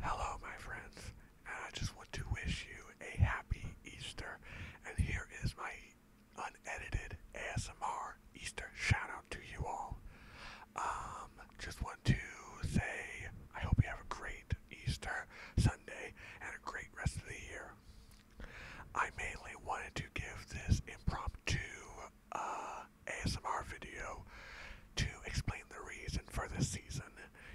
Hello, my friends, I just want to wish you a happy Easter. And here is my unedited ASMR Easter shout out to you all. Um, just want to say I hope you have a great Easter Sunday and a great rest of the year. I mainly wanted to give this impromptu uh, ASMR video to explain the reason for this season.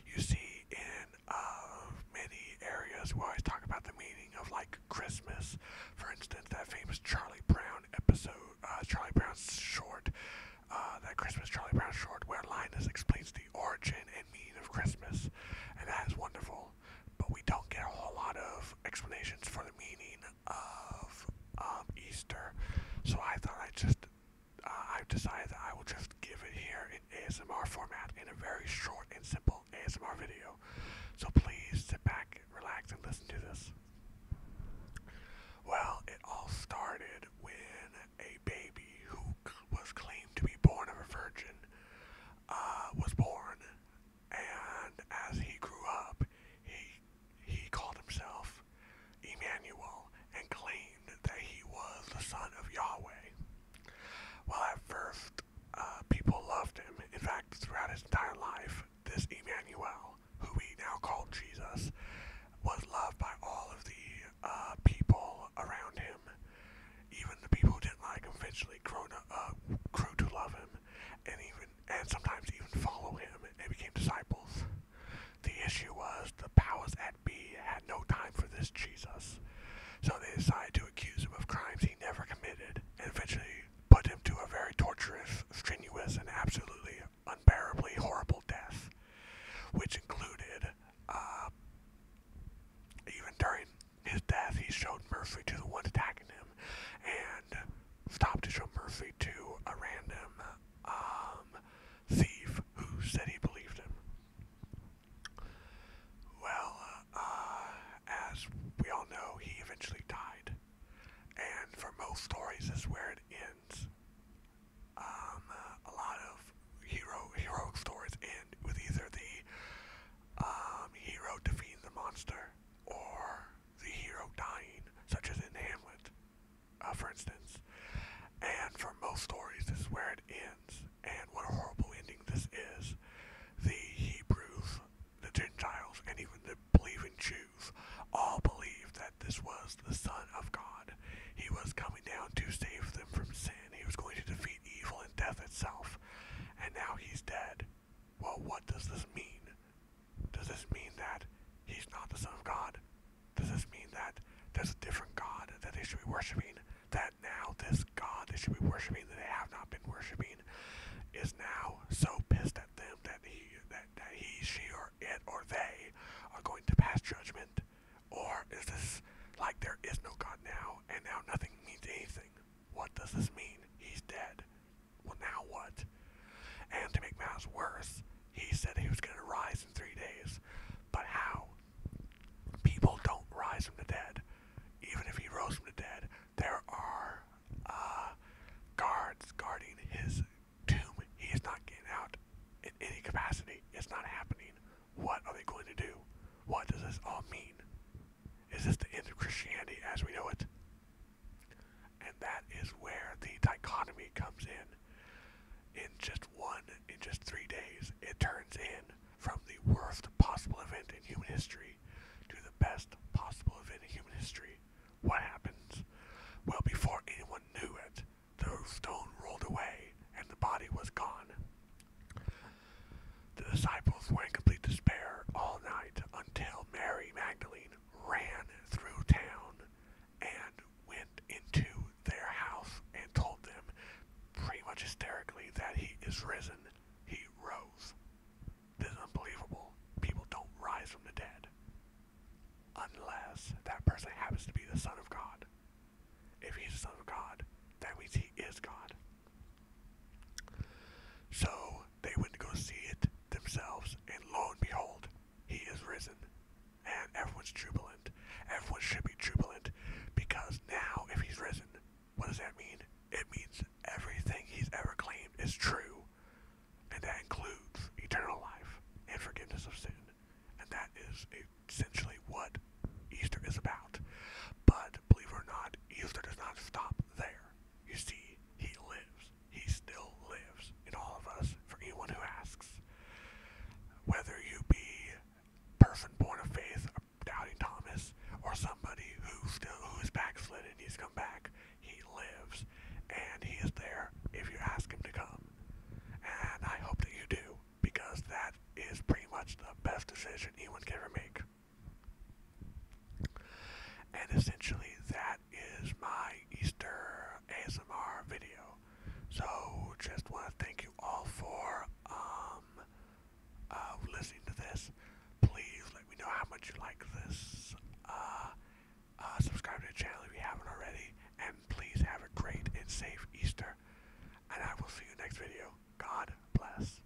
You see, in uh, many areas, we always talk about the meaning of like Christmas. For instance, that famous Charlie Brown episode, uh, Charlie Brown's short, that Christmas Charlie Brown short, where Linus explains the origin and meaning of Christmas, and that is wonderful. But we don't get a whole lot of explanations for the meaning of um, Easter. So I thought I just, uh, I've decided that I will just give it here in ASMR format in a very short and simple ASMR video. So please sit back, relax, and listen to this. Well, it all started when a baby who was claimed to be born of a virgin uh, was born and as he grew up, he he called himself Emmanuel and claimed that he was the son of Yahweh. Well, at first, uh, people loved him. In fact, throughout his entire life, this Emmanuel, who we now call Jesus, was loved by all of the uh, people around him. Even the people who didn't like him eventually grew to uh, love him and even and sometimes even follow him, and became disciples. The issue was the powers at be had no time for this Jesus, so they decided to accuse him of crimes he never committed, and eventually put him to a very torturous, strenuous, and absolutely unbearably horrible death, which included. Uh, even during his death, he showed mercy to the one attacking him, and stopped to show Murphy to a random um, thief who said he believed him. Well, uh, as we all know, he eventually died. And for most stories, is where it ends. Um, a lot of hero heroic stories end with either the um, hero defeating the monster or the hero dying, such as in Hamlet, uh, for instance. And for most stories, this is where it ends. And what a horrible ending this is. The Hebrews, the Gentiles, and even the believing Jews all believe that this was the Son of God. He was coming down to save them from sin. He was going to defeat evil and death itself. And now he's dead. Well, what does this mean? Does this mean that he's not the Son of God? Does this mean that there's a different God that they should be worshiping? That now this God they should be worshiping that they have not been worshiping is now so pissed at them that he, that, he, she, or it, or they are going to pass judgment? Or is this like there is no God now and now nothing means anything? What does this mean? He's dead well, now what? And to make matters worse, he said he was going to rise in three days. But how? People don't rise from the dead. Even if he rose from the dead, there are uh, guards guarding his tomb. He is not getting out in any capacity. It's not happening. What are they going to do? What does this all mean? Is this the end of Christianity as we know it? And that is where the dichotomy comes in. In just one, in just three days, it turns in from the worst possible event in human history to the best possible event in human history. What happens? Well, before anyone knew it, the stone rolled away and the body was gone. The disciples were in complete despair all night until Mary Magdalene ran through town and went into their house and told them pretty much hysterically that he is risen. He rose. This is unbelievable. People don't rise from the dead unless that person happens to be the Son of God. If he's the Son of God, then we see is God. So they went to go see it themselves, and lo and behold, he is risen. And everyone's jubilant. Everyone should be jubilant because now, if he's risen, what does that mean? It means everything he's ever claimed is true, and that includes eternal life and forgiveness of sin. And that is essentially what Easter is about. But believe it or not, Easter does not stop there. You see, he lives. He still lives in all of us for anyone who asks. Whether you be person born of faith, doubting Thomas, or somebody who still who is backslidden and he's come back, he lives, and he is there if you ask him to come. And I hope that you do, because that is pretty much the best decision anyone can ever make. And essentially, that is my Easter ASMR video. So just want to thank you all for um, uh, listening to this. Please let me know how much you like this. Uh, uh, subscribe to the channel if you haven't already. And please have a great and safe Easter. And I will see you next video. God bless.